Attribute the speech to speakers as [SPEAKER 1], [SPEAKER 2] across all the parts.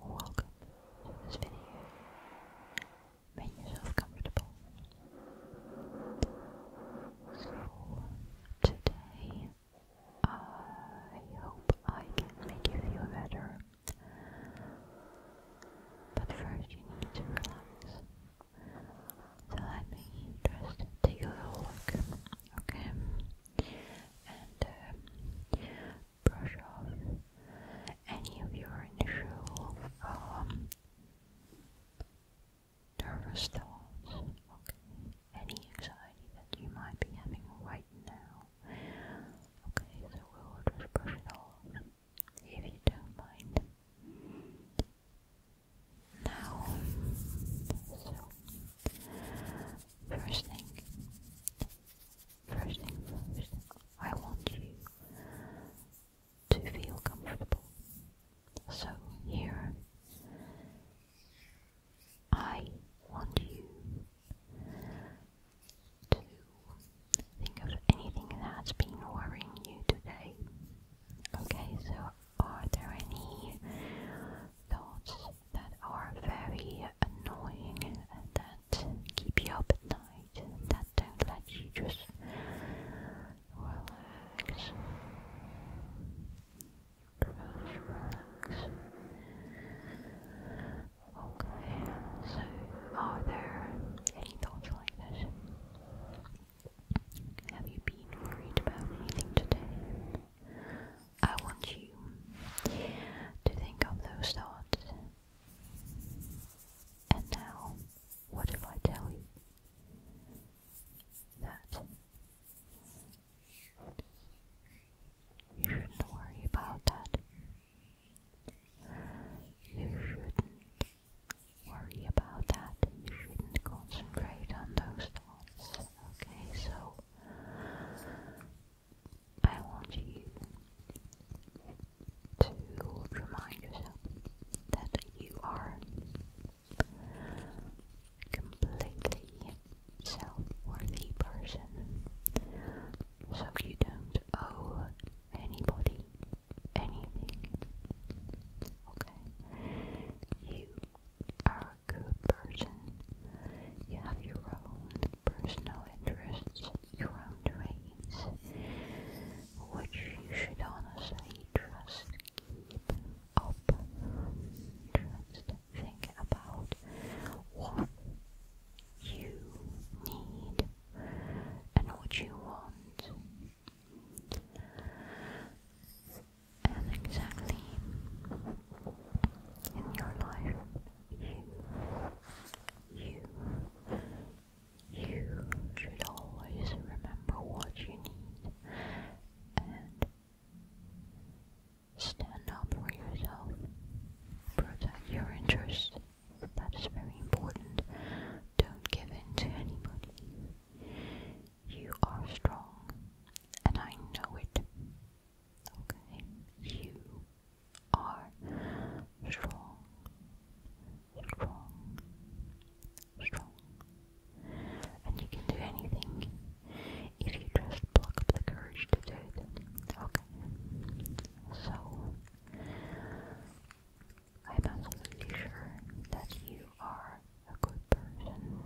[SPEAKER 1] Welcome, welcome to this video. Make yourself comfortable. So today, I hope I can make you feel better. But first, you need to relax. So that'd be Take a little look. Okay. And uh, brush off any of your initial um, nervous thoughts. Okay. Any anxiety that you might be having right now. Okay, so we'll just brush it off if you don't mind. Now, first thing, first thing first, I want you to feel comfortable. So here, I want you to think of anything that's been worrying you today. Okay, so are there any thoughts that are very annoying that keep you up at night, that don't let you just relax? Relax, Okay, so are there any thoughts like this? Have you been worried about anything today? I want you to think of those thoughts. And now, what if I tell you that you shouldn't worry about that? You shouldn't worry about that. You shouldn't concentrate on those thoughts. Okay, so I want you to remind yourself that you are completely self-worthy person. So you don't owe anybody anything. Okay? You are a good person. You have your own personal interests, your own dreams, which you should honestly trust. Keep up. Just think about what you need and what you want. And exactly in your life, you, you, you should always remember what you need and stand up for yourself, protect your interests, that is very important. Don't give in to anybody. You are strong, and I know it. Okay? You are strong. Strong. Strong. And you can do anything if you just pluck up the courage to do it. Okay? So, I'm absolutely sure that you are a good person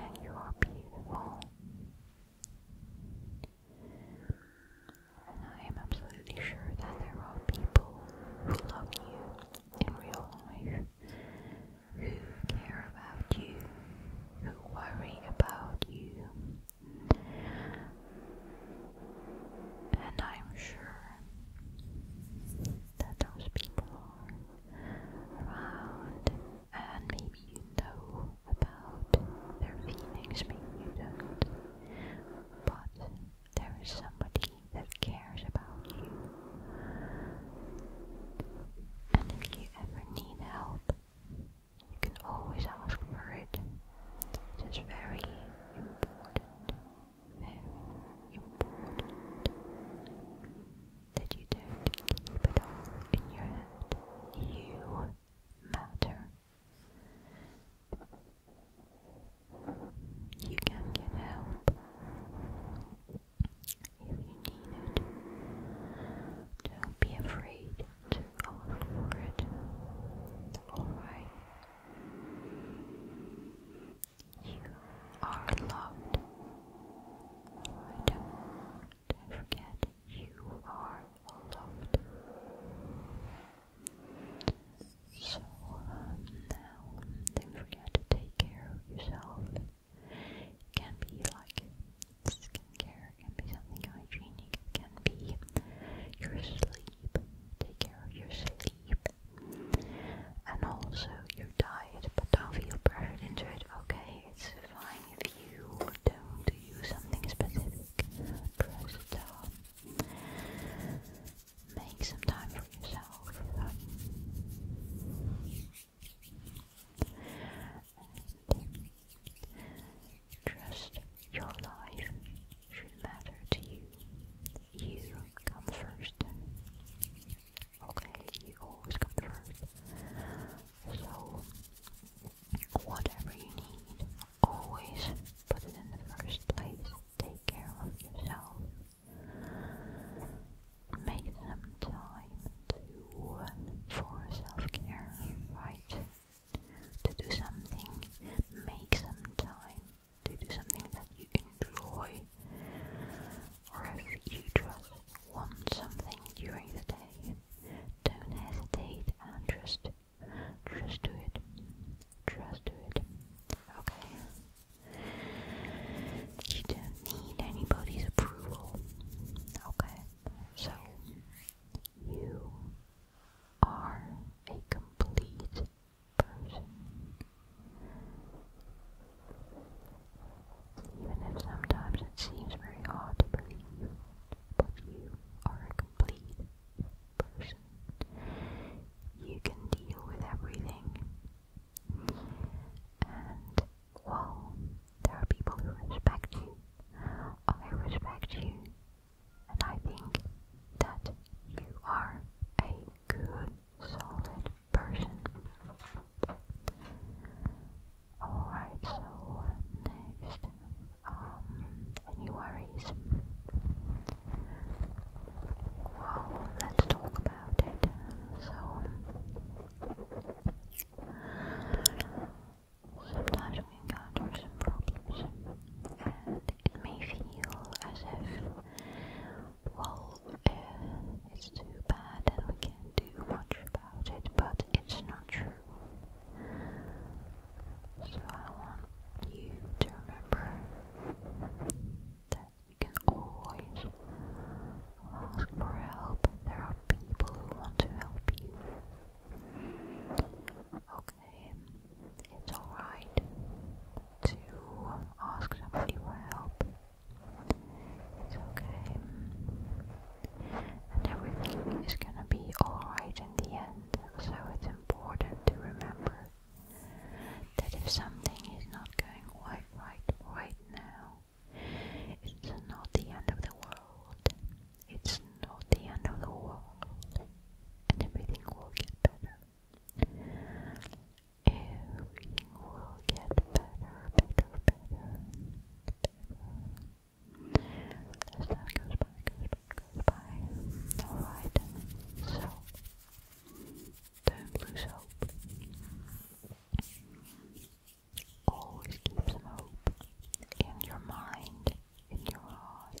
[SPEAKER 1] and you are beautiful. And I am absolutely sure that there are people who love you in real life, who care about you, who worry about you, and I'm sure that those people are around, and maybe you know about their feelings, maybe you don't. But there is somebody that cares about you. And if you ever need help, you can always ask for it. It is very important, very important that you don't keep it all in your head. You matter. You can get help if you need it. Don't be afraid get over it. Alright. You are loved. Don't forget, you are loved. So now, don't forget to take care of yourself. can be like Skincare can be something hygienic, can be your sleep, take care of your sleep, and also your diet. But don't feel pressured into it, okay? It's fine if you don't do something specific. Press it down. Make some time for yourself. Trust your life should matter to you. You come first. Okay, you always come first. So, whatever you need, always put it in the first place. Take care of yourself. Make some time to for self-care, right? To do something, make some time to do something that you enjoy, or if you just want something during the day, don't hesitate and just, just do it, just do it, okay? You don't need anybody's approval, okay? So, you are a complete person. Even if sometimes it seems very hard to believe, but you are a complete person. You can deal with everything. Well, there are people who respect you, I respect you, and I think that you are a good, solid person. Alright, so next, um, any worries? Well, let's talk about it. So, Sometimes we encounter some problems, and it may feel as if, well, uh, it's too bad and we can't do much about it, but it's not true. So I want you to remember that you can always ask for help. There are people who want to help you. Okay, it's alright to ask somebody for help. It's okay. And everything is gonna be alright in the end. So it's important to remember that if something is not going quite right right now, it's not the end of the world. It's not the end of the world. And everything will get better. Everything will get better, better, better, better. As time goes by, goes by, goes by. Alright, so don't lose hope. Always keep some hope in your mind, in your heart,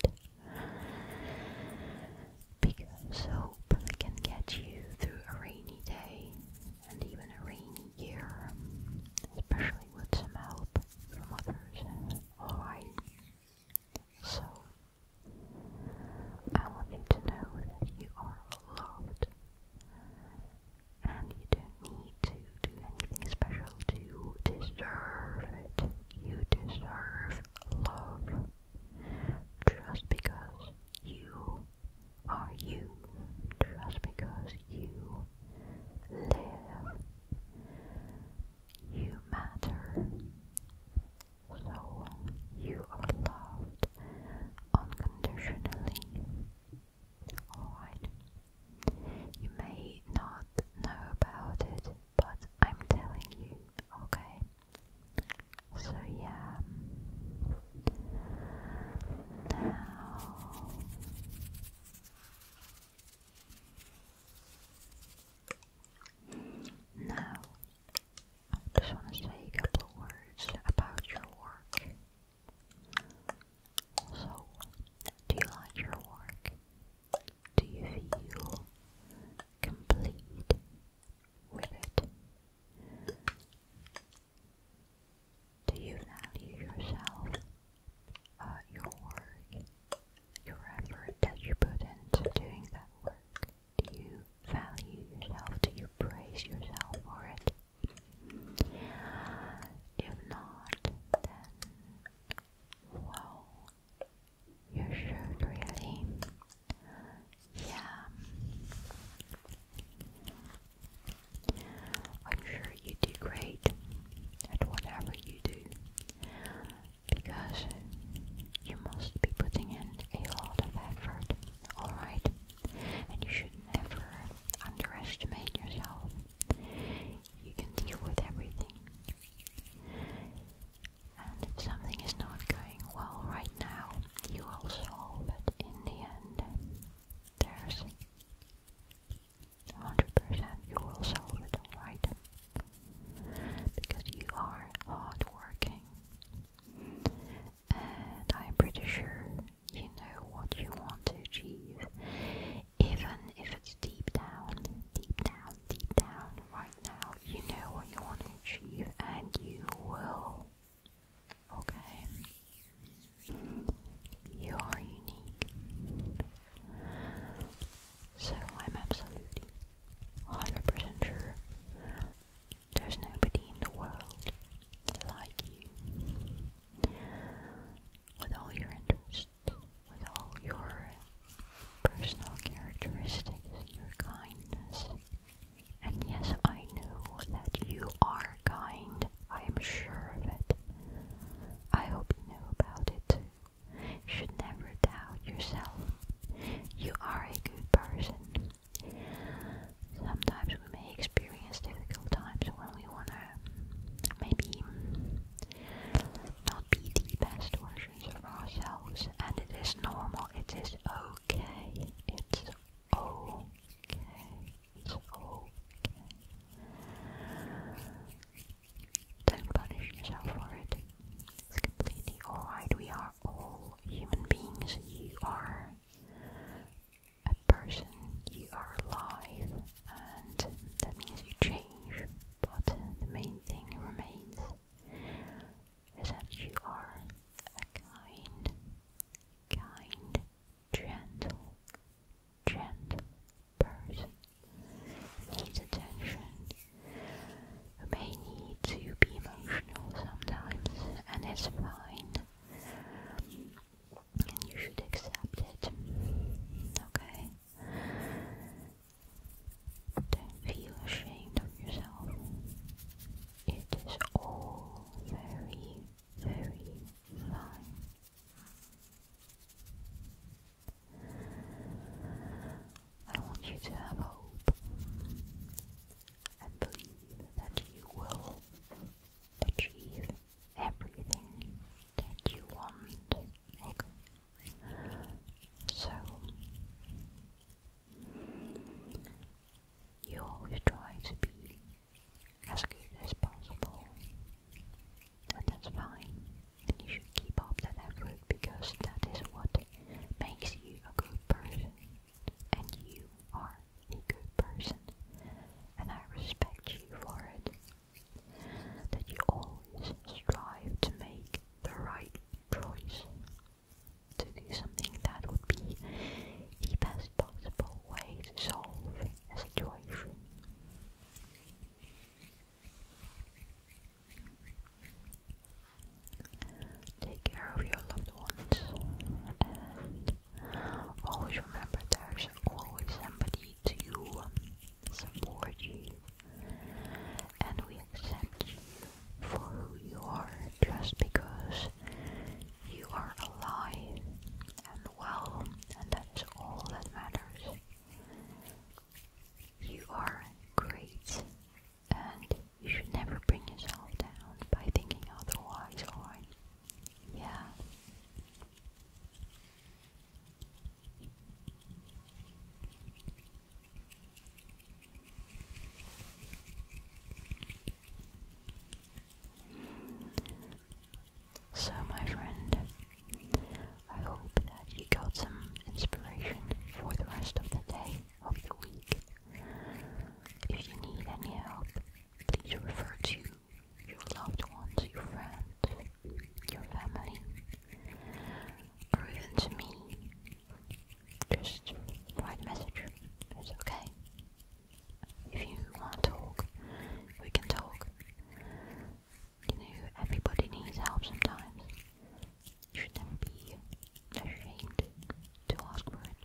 [SPEAKER 1] because hope can get you through a rainy day and even a rainy year, especially with some help from others. Alright, so I want you to know that you are loved and you don't need to do anything special to deserve it. You deserve love just because you are you, just because you live, you matter. So you are loved unconditionally. Alright. You may not know about it, but I'm telling you, okay? So, yeah. Now. Now, I just want to say a couple words about your work. So, do you like your work? Do you feel complete with it? Do you value yourself, uh, your work, your effort that you put into doing that work? Do you value yourself? Do you praise yourself for it? If not, then wow, you should really, yeah. I'm sure you do great at whatever you do because you must be putting in a lot of effort, alright? and you should never underestimate yourself. You can deal with everything. And if something is not going well right now, you will solve it in the end. There's 100% you will solve it alright. Because you are hardworking and I'm pretty sure you know what you want to achieve, even if it's deep down, deep down, deep down right now. You know what you want to achieve, and you will. Okay? You are unique. So I'm absolutely 100% sure there's nobody in the world like you. With all your interests, with all your personal characteristics, your kindness. And yes, I know that you are kind. I am sure of it. I hope you know about it should never doubt yourself. You are a good person. Sometimes we may experience difficult times when we wanna maybe not be the best versions of ourselves, and it is normal, it is okay, it's okay, it's okay. Don't punish yourself for it. It's completely alright, we are all human beings, you are a person, you are alive, and that means you change, but the main thing remains is that you are a kind, kind, gentle, gentle person. Needs attention, may need to be emotional sometimes, and it's fine. you should accept it. Okay? Don't feel ashamed of yourself. It is all very, very fine. I want you to have hope and believe that you will achieve everything that you want. Okay. So you always try to be as good as possible. And that's fine. And you should keep up that effort because that is what makes you a good person and you are a good person, and I respect you for it. That you always strive to make the right choice, to do something that would be the best possible way to solve a situation. Take care of your loved ones and always remember there's always somebody to support you and we accept you for who you are just because you are alive and well and that is all that matters. You are great and you should never bring yourself down by thinking otherwise, alright? Yeah. So, my friend, I hope that you got some inspiration for the rest of the day of the week. If you need any help, please refer to your loved ones, your friends, your family, or even to me. Just write a message. It's okay. If you want to talk, we can talk. You know, everybody needs help sometimes. You shouldn't be ashamed to ask for it.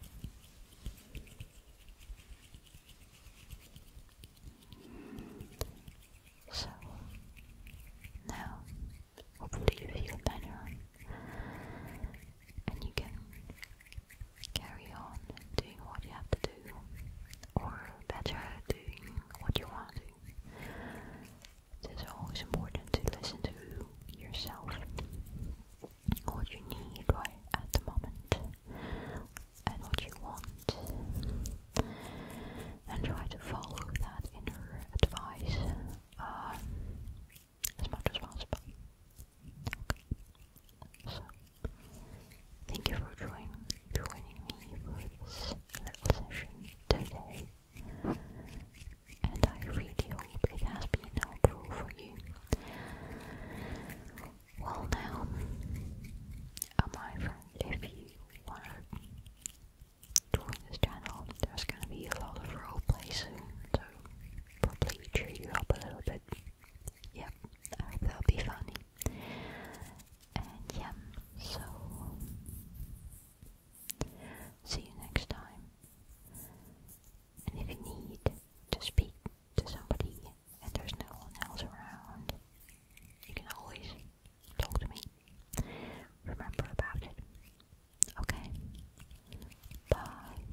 [SPEAKER 1] So now, hopefully, you feel better and you can carry on doing what you have to do, or better, doing what you want it is always important to listen to yourself. What you need right at the moment and what you want. And try to follow that inner advice um, as much as possible. So, thank you for joining, joining me for this session today and I really hope it has been helpful for you. Well, now, my friend, if you want to join this channel, there's going to be a lot of roleplay soon, so probably cheer you up a little bit. Yep, that'll be funny. And yeah, so See you next time. And if you need to speak to somebody and there's no one else around, you can always talk to me. Remember about it. Okay? Bye.